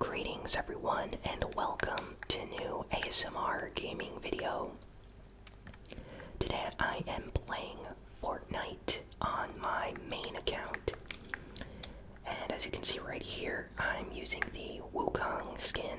Greetings everyone and welcome to new ASMR gaming video. Today I am playing Fortnite on my main account. And as you can see right here, I'm using the Wukong skin.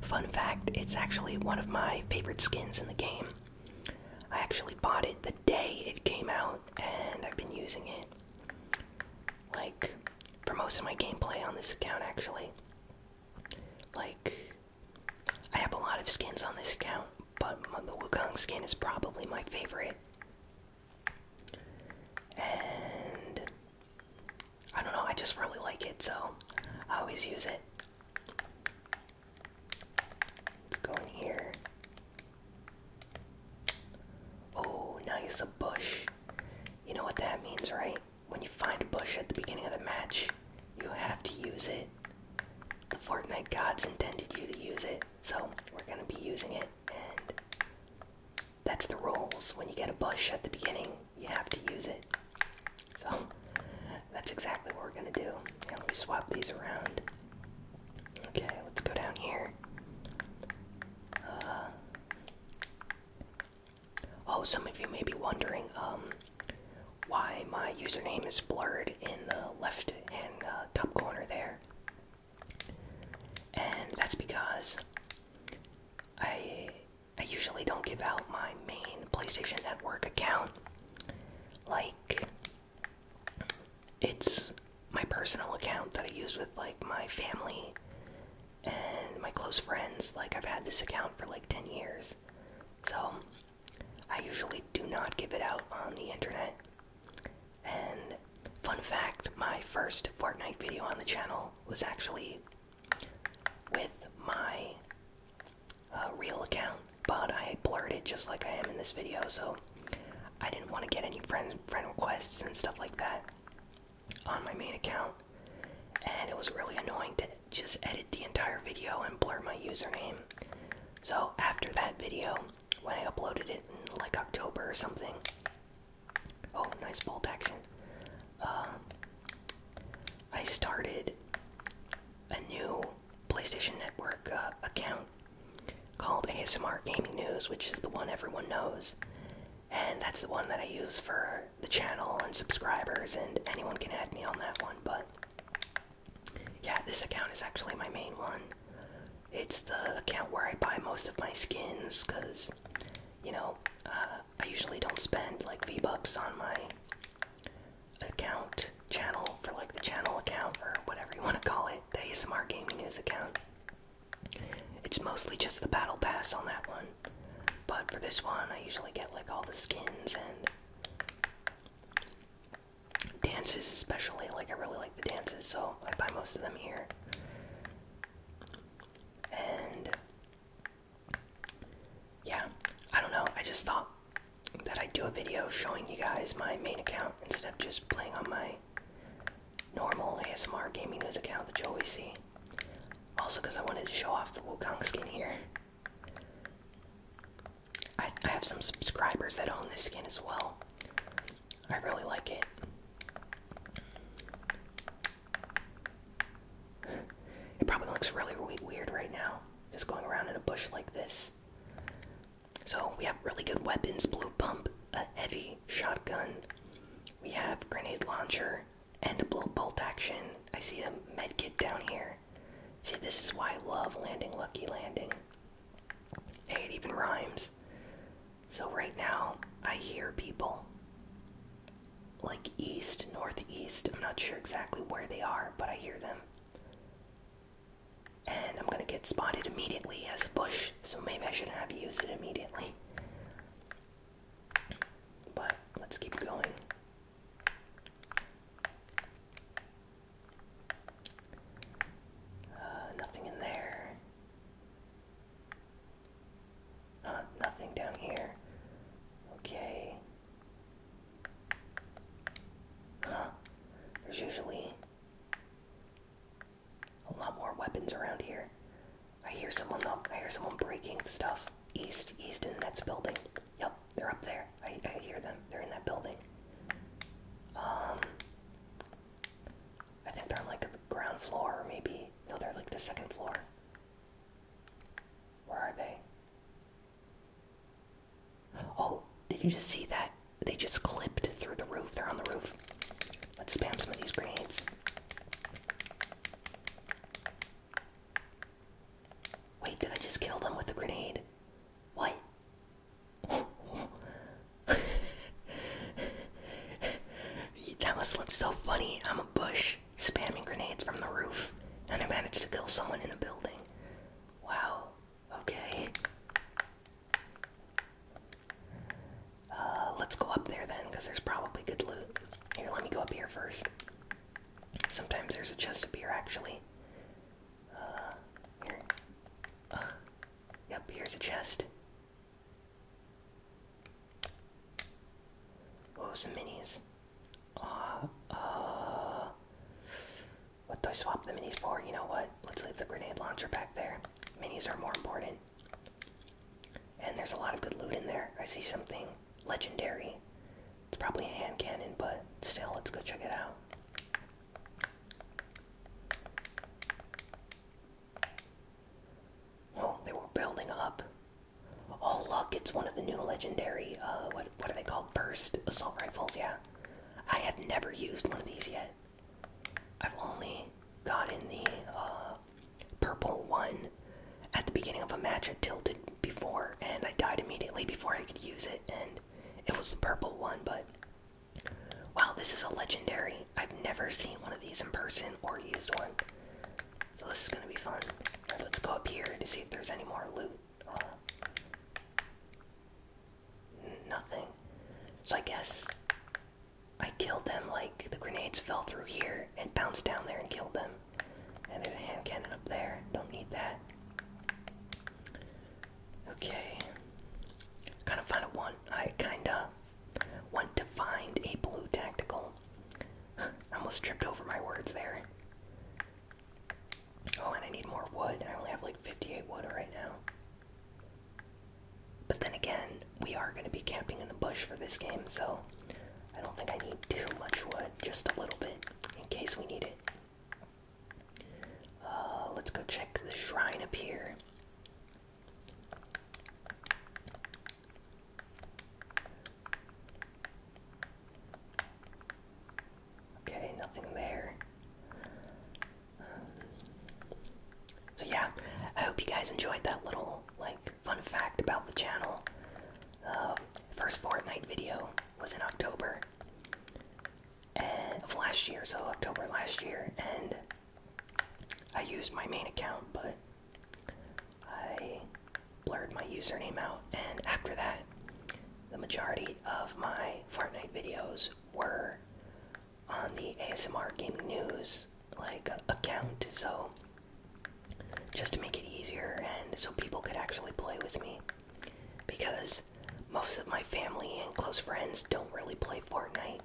Fun fact, it's actually one of my favorite skins in the game. I actually bought it the day it came out and I've been using it like for most of my gameplay on this account actually. Like I have a lot of skins on this account, but the Wukong skin is probably my favorite. And I don't know, I just really like it, so I always use it. Let's go in here. Oh, nice, a bush. You know what that means, right? When you find a bush at the beginning of the match, you have to use it. The Fortnite gods intended you to use it, so we're gonna be using it, and that's the rules. When you get a bush at the beginning, you have to use it. So that's exactly what we're gonna do. And we swap these around. Okay, let's go down here. Uh, oh, some of you may be wondering um, why my username is blurred in the left and uh, top corner there. And that's because I I usually don't give out my main PlayStation Network account. Like it's my personal account that I use with like my family and my close friends. Like I've had this account for like 10 years. So I usually do not give it out on the internet. And fun fact, my first Fortnite video on the channel was actually with my uh, real account, but I blurred it just like I am in this video, so I didn't want to get any friend friend requests and stuff like that on my main account, and it was really annoying to just edit the entire video and blur my username. So after that video, when I uploaded it in like October or something, oh nice bolt action. Uh, I started a new PlayStation Network uh, account called ASMR Gaming News, which is the one everyone knows. And that's the one that I use for the channel and subscribers, and anyone can add me on that one. But yeah, this account is actually my main one. It's the account where I buy most of my skins, because, you know, uh, I usually don't spend like V-Bucks on my account channel for like the channel account or whatever you want to call it, the ASMR Gaming News account. It's mostly just the battle pass on that one. But for this one, I usually get like all the skins and dances, especially. Like, I really like the dances, so I buy most of them here. And yeah, I don't know. I just thought that I'd do a video showing you guys my main account instead of just playing on my normal ASMR gaming news account that you always see. Also, because I wanted to show off the Wukong skin here. I, I have some subscribers that own this skin as well. I really like it. It probably looks really weird right now, just going around in a bush like this. So we have really good weapons blue pump, a heavy shotgun, we have grenade launcher, and a blow bolt action. I see a med kit down here. See, this is why I love landing Lucky Landing. Hey, it even rhymes. So right now, I hear people like east, northeast. I'm not sure exactly where they are, but I hear them and I'm gonna get spotted immediately as a bush, so maybe I shouldn't have used it immediately. But let's keep going. Uh, nothing in there. Uh, nothing down here. Okay. Huh. There's usually a lot more weapons around here. I hear someone I hear someone breaking stuff. East, east in that building. Yep, they're up there. I, I hear them. They're in that building. Um, I think they're on like the ground floor, or maybe no, they're like the second floor. Where are they? Oh, did you just see that? They just clipped through the roof. They're on the roof. Let's spam some of these grenades. Wait, did I just kill them with a grenade? What? that must look so funny. I'm a bush spamming grenades from the roof, and I managed to kill someone in a building. Wow, Okay. Uh, let's go up there then, because there's probably good loot. Here, let me go up here first. Sometimes there's a chest up here, actually. Uh, here. Uh, yep, here's a chest. Oh, some minis. Uh, what do I swap the minis for? You know what? Let's leave the grenade launcher back there. Minis are more important. And there's a lot of good loot in there. I see something legendary. It's probably a hand cannon, but still, let's go check it out. Oh, they were building up. Oh, look, it's one of the new legendary, uh, what, what are they called? Burst assault rifles, yeah. I have never used one of these yet. I've only got in the uh, purple one at the beginning of a match I tilted before, and I died immediately before I could use it, and it was the purple one, but wow, this is a legendary. I've never seen one of these in person or used one. So this is gonna be fun. Let's go up here to see if there's any more loot nothing. So I guess I killed them like the grenades fell through here and bounced down there and killed them. And there's a hand cannon up there. Don't need that. Okay. Kind of find a one. I kinda want to find a blue tactical. I almost tripped over my words there. Oh, and I need more wood. I only have like 58 wood right now. But then again, we are going to be camping in the bush for this game, so I don't think I need too much wood, just a little bit in case we need it. Uh, let's go check the shrine up here. Okay, nothing there. so yeah, I hope you guys enjoyed that little like fun fact about the channel. Uh, first Fortnite video was in October and, of last year, so October last year, and I used my main account, but I blurred my username out, and after that, the majority of my Fortnite videos were on the ASMR Gaming News like account, so just to make it easier and so people could actually play with me. Because most of my family and close friends don't really play Fortnite.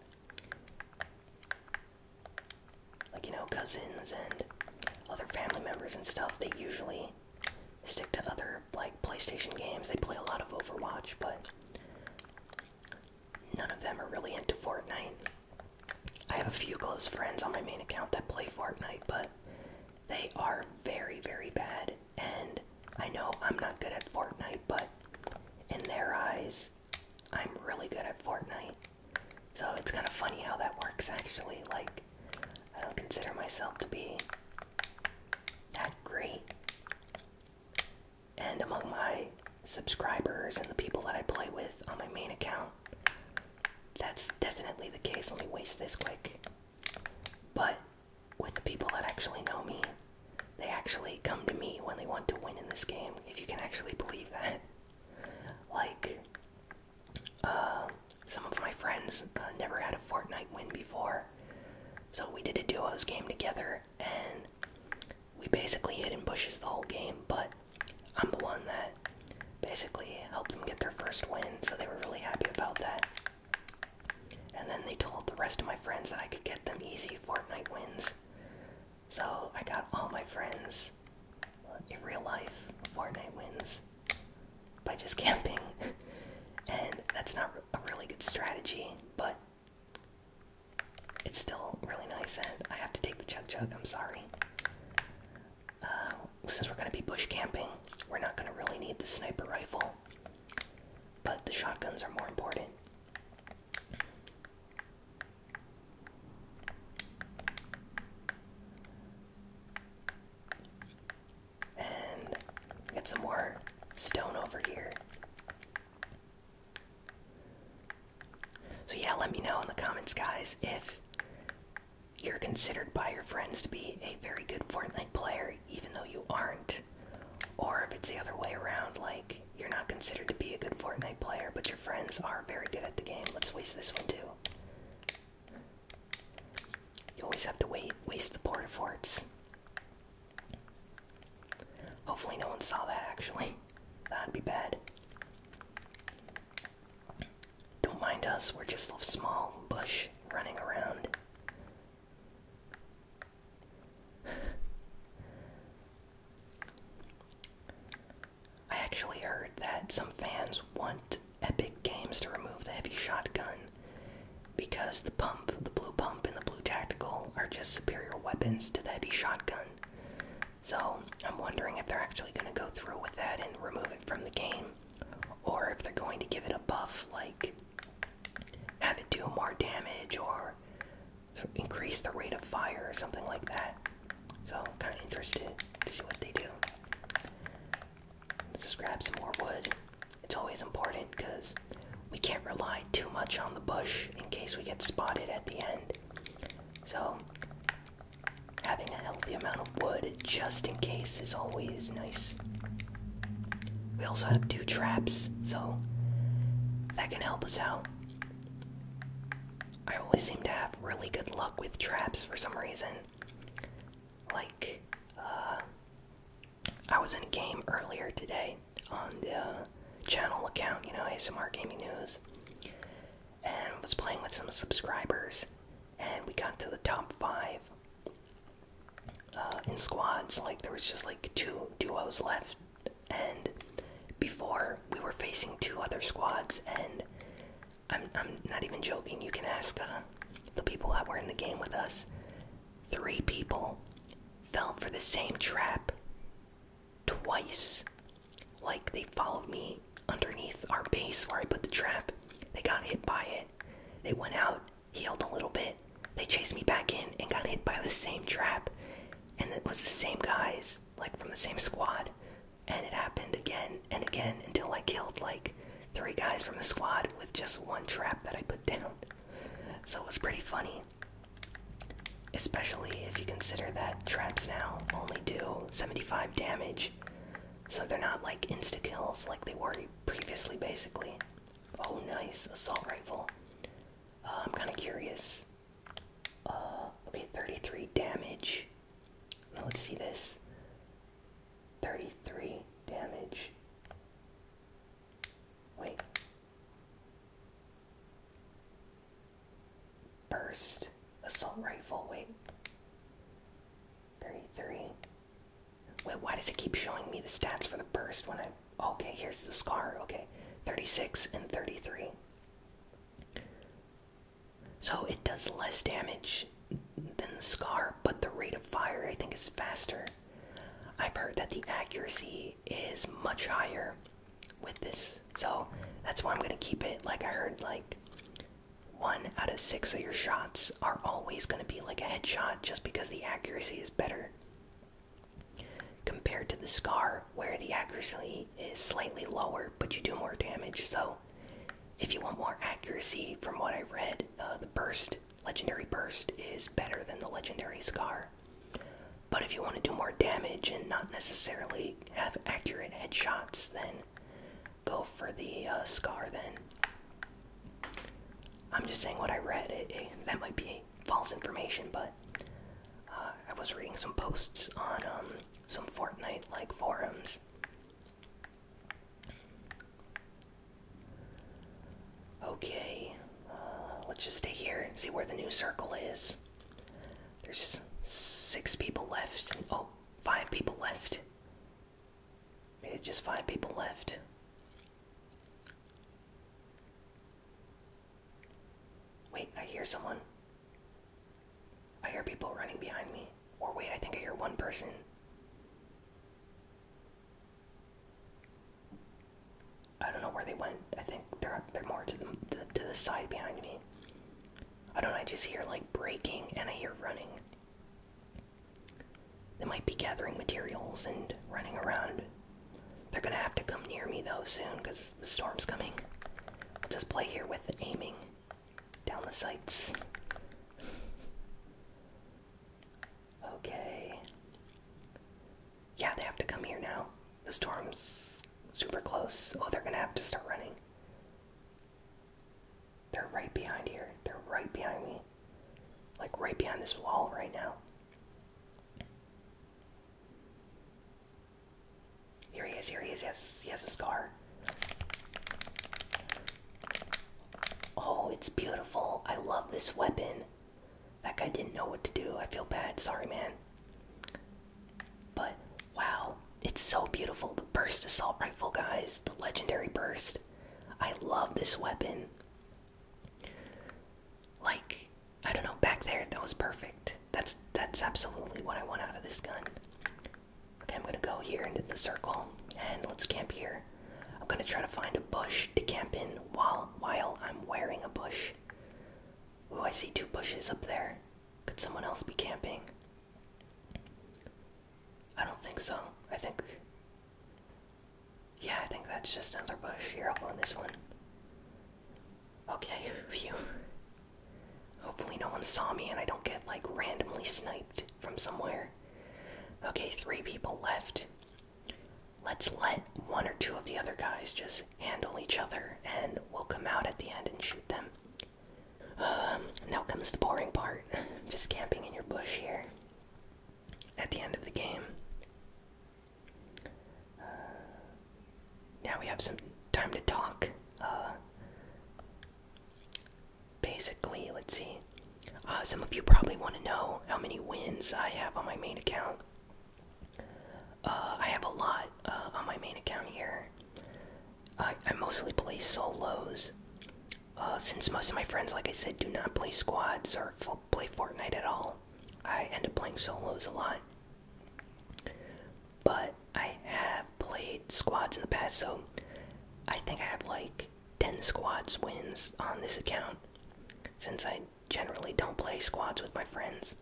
Like, you know, cousins and other family members and stuff, they usually stick to other like PlayStation games. They play a lot of Overwatch, but none of them are really into Fortnite. I have a few close friends on my main account that play Fortnite, but they are very, very bad. And I know I'm not good at Fortnite, but in their eyes, I'm really good at Fortnite. So it's kind of funny how that works, actually. Like, I don't consider myself to be that great. And among my subscribers and the people that I play with on my main account, that's definitely the case. Let me waste this quick. But with the people that actually know me, they actually come to me when they want to win in this game, if you can actually believe that. Like, uh, some of my friends uh, never had a Fortnite win before, so we did a duos game together, and we basically hid in bushes the whole game. But I'm the one that basically helped them get their first win, so they were really happy about that. And then they told the rest of my friends that I could get them easy Fortnite wins. So I got all my friends uh, in real life Fortnite wins by just camping, and that's not a really good strategy, but it's still really nice. And I have to take the chug chug, I'm sorry. Uh, since we're going to be bush camping, we're not going to really need the sniper rifle, but the shotguns are more important. And get some more stone over here. So, yeah, let me know in the comments, guys, if you're considered by your friends to be a very good Fortnite player, even though you aren't. Or if it's the other way around, like you're not considered to be a good Fortnite player, but your friends are very good at the game. Let's waste this one too. You always have to wait, waste the porta forts. Hopefully, no one saw that actually. That'd be bad. Don't mind us, we're just a small bush running around. I actually heard that some fans want Epic Games to remove the heavy shotgun because the pump, the blue pump, and the blue tactical are just superior weapons to the heavy shotgun. So I'm wondering if they're actually going to go through with that and remove it from the game, or if they're going to give it a buff like have it do more damage or increase the rate of fire or something like that. So, kind of interested to see what they do. Let's just grab some more wood. It's always important because we can't rely too much on the bush in case we get spotted at the end. So, having a healthy amount of wood just in case is always nice. We also have two traps, so that can help us out. I always seem to have really good luck with traps for some reason like uh, I was in a game earlier today on the channel account, you know, ASMR Gaming News, and was playing with some subscribers, and we got to the top five uh, in squads. Like there was just like two duos left, and before we were facing two other squads, and I'm, I'm not even joking. You can ask uh, the people that were in the game with us. Three people fell for the same trap twice. Like they followed me underneath our base where I put the trap. They got hit by it. They went out, healed a little bit. They chased me back in and got hit by the same trap. And it was the same guys, like from the same squad and it happened again and again until I killed like three guys from the squad with just one trap that I put down. So it was pretty funny. Especially if you consider that traps now only do 75 damage. So they're not like insta kills like they were previously, basically. Oh, nice. Assault rifle. Uh, I'm kind of curious. Uh, okay, 33 damage. Now let's see this. 33 damage. Wait. Burst. Assault rifle. Wait. 33. Wait, why does it keep showing me the stats for the burst when I. Okay, here's the scar. Okay. 36 and 33. So it does less damage than the scar, but the rate of fire I think is faster. I've heard that the accuracy is much higher with this, so that's why I'm gonna keep it. Like I heard, like one out of six of your shots are always gonna be like a headshot, just because the accuracy is better compared to the scar, where the accuracy is slightly lower, but you do more damage. So if you want more accuracy, from what I read, uh, the burst, legendary burst, is better than the legendary scar. But if you want to do more damage and not necessarily have accurate headshots, then go for the uh, scar. Then I'm just saying what I read. that might be false information, but uh, I was reading some posts on um, some Fortnite like forums Okay, uh, let's just stay here and see where the new circle is. There's six people left. Oh, five people left. just five people left. Wait, I hear someone. I hear people running behind me. Or wait, I think I hear one person. I don't know where they went. I think they're they're more to the to, the side behind me. I don't know, I just hear like breaking and I hear running. They might be gathering materials and running around. They're gonna have to come near me though soon because the storm's coming. I'll just play here with aiming down the sights. Okay. Yeah, they have to come here now. The storm's super close. Oh, they're gonna have to start running. They're right behind here. They're right behind me. Like right behind this wall right now. Here he is, here he is, yes, he has a scar. Oh, it's beautiful. I love this weapon. That guy didn't know what to do. I feel bad. Sorry, man. But wow, it's so beautiful. The burst assault rifle, guys. The legendary burst. I love this weapon. Like, I don't know, back there, that was perfect. That's that's absolutely what I want out of this gun. Okay, I'm gonna go here into the circle and let's camp here. I'm gonna try to find a bush to camp in while while I'm wearing a bush. Oh, I see two bushes up there. Could someone else be camping? I don't think so. I think Yeah, I think that's just another bush. Here I'll go on this one. Okay, phew. Hopefully no one saw me and I don't get like randomly sniped from somewhere. Okay, three people left. Let's let one or two of the other guys just handle each other and we'll come out at the end and shoot them. Um, now comes the boring part. Just camping in your bush here. At the end of the game. Uh, now we have some time to talk. Uh, basically, let's see. Uh, some of you probably want to know how many wins I have on my main account. Uh, I have a lot on my main account here. I, mostly play solos. since most of my friends, like I said, do not play squads or play Fortnite at all, I end up playing solos a lot. But I have played squads in the past, so I think I have like 10 squads wins on this account since I generally don't play squads with my friends.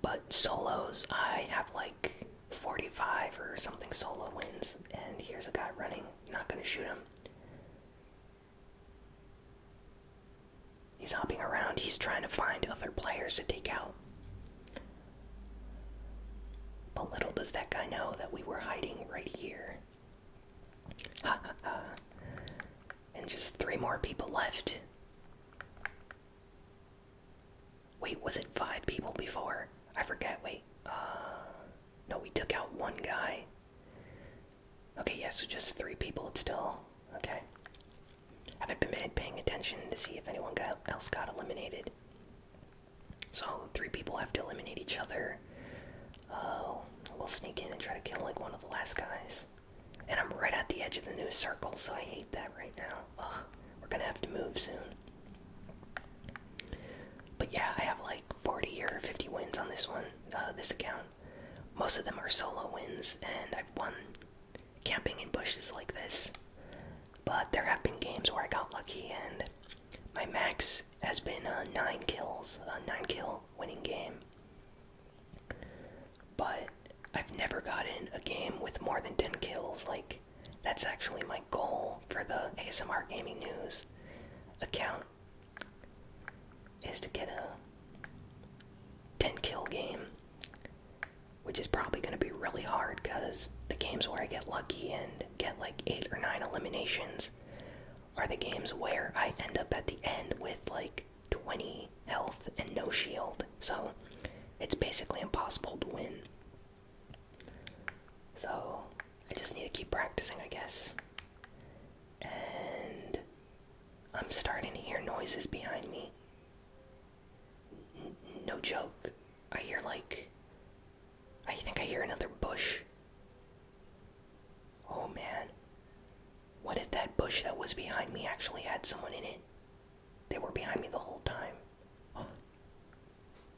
But solos, I have like 45 or something solo wins, and here's a guy running, not gonna shoot him. He's hopping around. He's trying to find other players to take out. But little does that guy know that we were hiding right here. Ha ha ha. And just three more people left. Wait, was it five people before? I forget. Wait. Uh, no, we took out one guy. Okay, yes. so just three people It's still. Okay. Haven't been paying attention to see if anyone else got eliminated. So, three people have to eliminate each other. Oh, we'll sneak in and try to kill like one of the last guys. And I'm right at the edge of the news circle, so I hate that right now. Ugh, we're gonna have to move soon. But yeah, I have like 40 or 50 wins on this one, uh, this account. Most of them are solo wins, and I've won camping in bushes like this. But there have been games where I got lucky, and my max has been uh, nine kills, a nine kill winning game. But I've never gotten a game with more than 10 kills. Like, that's actually my goal for the ASMR Gaming News account is to get a 10 kill game, which is probably going to be really hard because the games where I get lucky and get like 8 or 9 eliminations are the games where I end up at the end with like 20 health and no shield. So it's basically impossible to win. So I just need to keep practicing, I guess. And I'm starting to hear noises behind me. no joke. I hear like. I think I hear another bush. Oh man. What if that bush that was behind me actually had someone in it? They were behind me the whole time.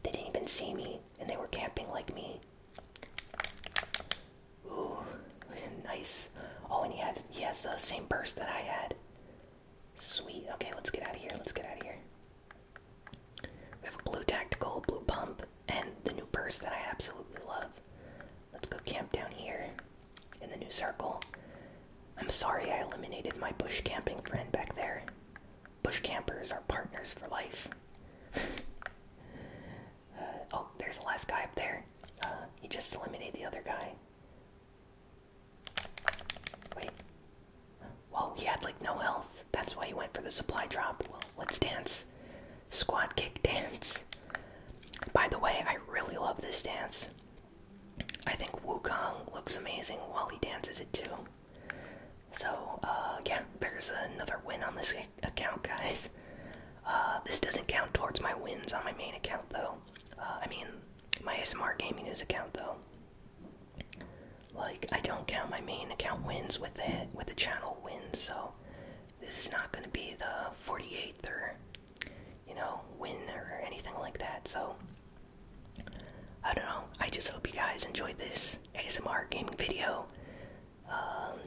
They didn't even see me, and they were camping like me. Ooh, nice. Oh, and he has he has the same purse that I had. Sweet. Okay, let's get out of here. Let's get out of here. We have a blue tactical, blue pump, and the new purse that I absolutely love. Let's go camp down here in the new circle. I'm sorry I eliminated my bush camping friend back there. Bush campers are partners for life. Uh, oh, there's the last guy up there. Uh, he just eliminated the other guy. Wait. Whoa, he had like no health. That's why he went for the supply drop. Well, let's dance. Squad kick dance. By the way, I really love this dance. I think Wukong looks amazing while he dances it too. So, uh, again, there's another win on this game account, guys. Uh, this doesn't count towards my wins on my main account, though. Uh, I mean, my ASMR Gaming News account, though. Like, I don't count my main account wins with the with the channel wins, so this is not going to be the 48th or you know win or anything like that. So I don't know. I just hope you guys enjoyed this ASMR gaming video. Um,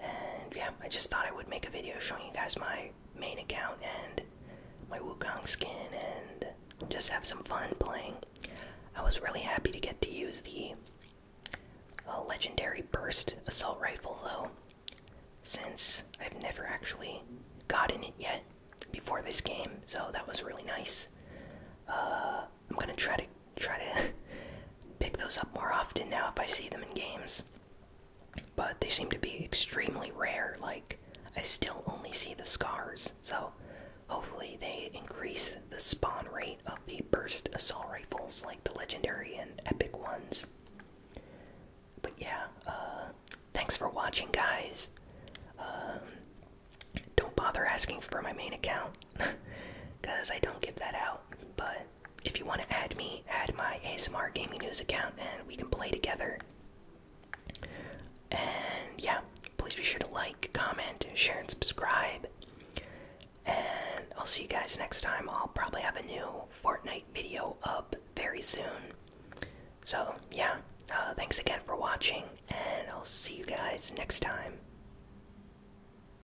and yeah, I just thought I would make a video showing you guys my main account and my Wukong skin and just have some fun playing. I was really happy to get to use the uh, legendary burst assault rifle though, since I've never actually gotten it yet before this game, so that was really nice. Uh, I'm gonna try to try to pick those up more often now if I see them in games. But they seem to be extremely rare. Like, I still only see the scars. So, hopefully, they increase the spawn rate of the burst assault rifles, like the legendary and epic ones. But yeah, uh, thanks for watching, guys. Um, don't bother asking for my main account because I don't give that out. But if you want to add me, add my ASMR Gaming News account and we can play together. And yeah, please be sure to like, comment, share, and subscribe. And I'll see you guys next time. I'll probably have a new Fortnite video up very soon. So, yeah, uh, thanks again for watching, and I'll see you guys next time.